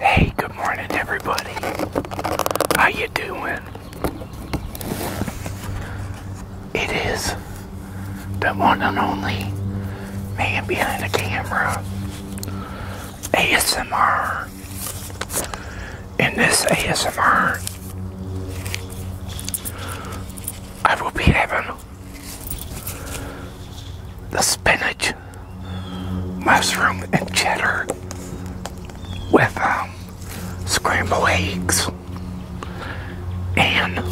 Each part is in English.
Hey, good morning everybody. How you doing? It is the one and only man behind the camera, ASMR. In this ASMR, I will be having the spinach, mushroom, and cheddar with um, scrambled eggs and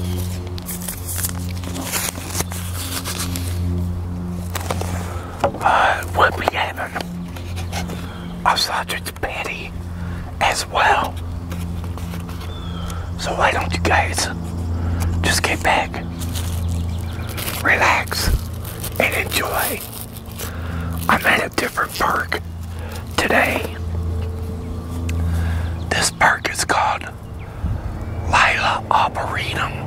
Uh, we'll be having a sausage as well. So why don't you guys just get back, relax, and enjoy. I'm at a different park today. This park is called Lila arboretum.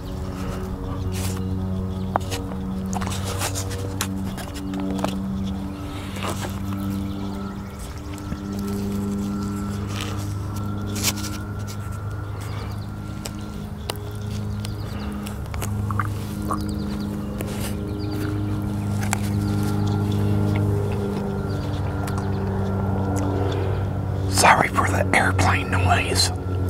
Sorry for the airplane noise.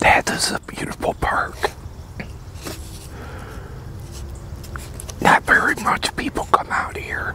That is a beautiful park. Not very much people come out here.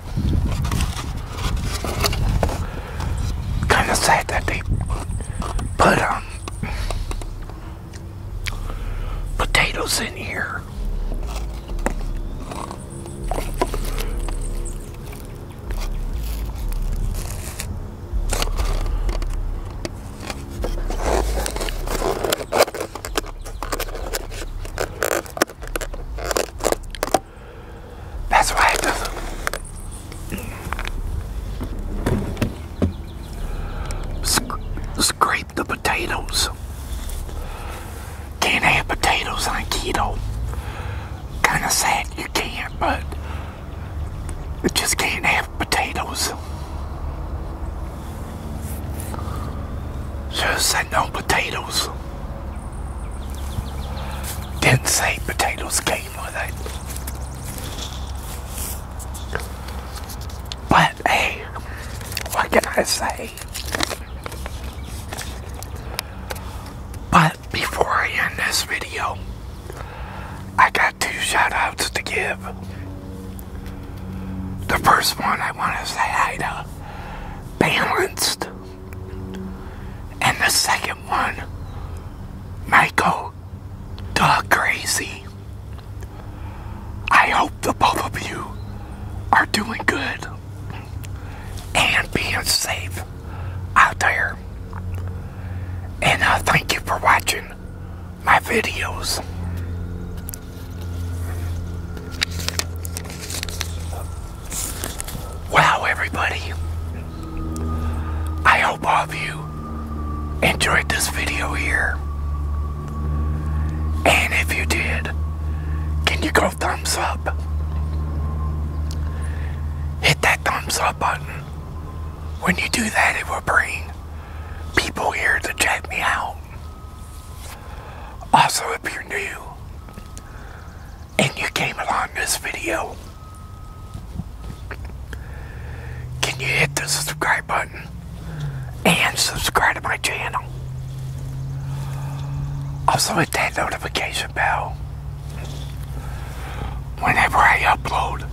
Kind of sad that they put um potatoes in here. That's why I doesn't. scrape the potatoes. Can't have potatoes on keto. Kind of sad you can't, but it just can't have potatoes. Just said no potatoes. Didn't say potatoes came with it. But hey, what can I say? But before I end this video, I got two shout outs to give. The first one I want to say hi to Balanced and the second one Michael, the crazy. I hope the both of you are doing good and being safe out there. And I uh, thank you for watching my videos. Wow, everybody. I hope all of you enjoyed this video here. And if you did, can you go thumbs up? Hit that thumbs up button. When you do that, it will bring people here to check me out. Also, if you're new, and you came along this video, can you hit the subscribe button and subscribe to my channel? Also hit that notification bell. Whenever I upload,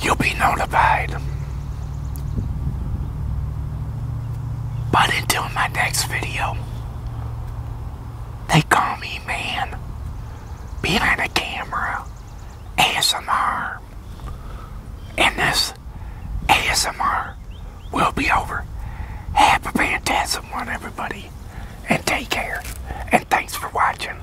you'll be notified. But until my next video, they call me man. Behind the camera. ASMR. And this ASMR will be over. Have a fantastic one, everybody. And take care. And thanks for watching.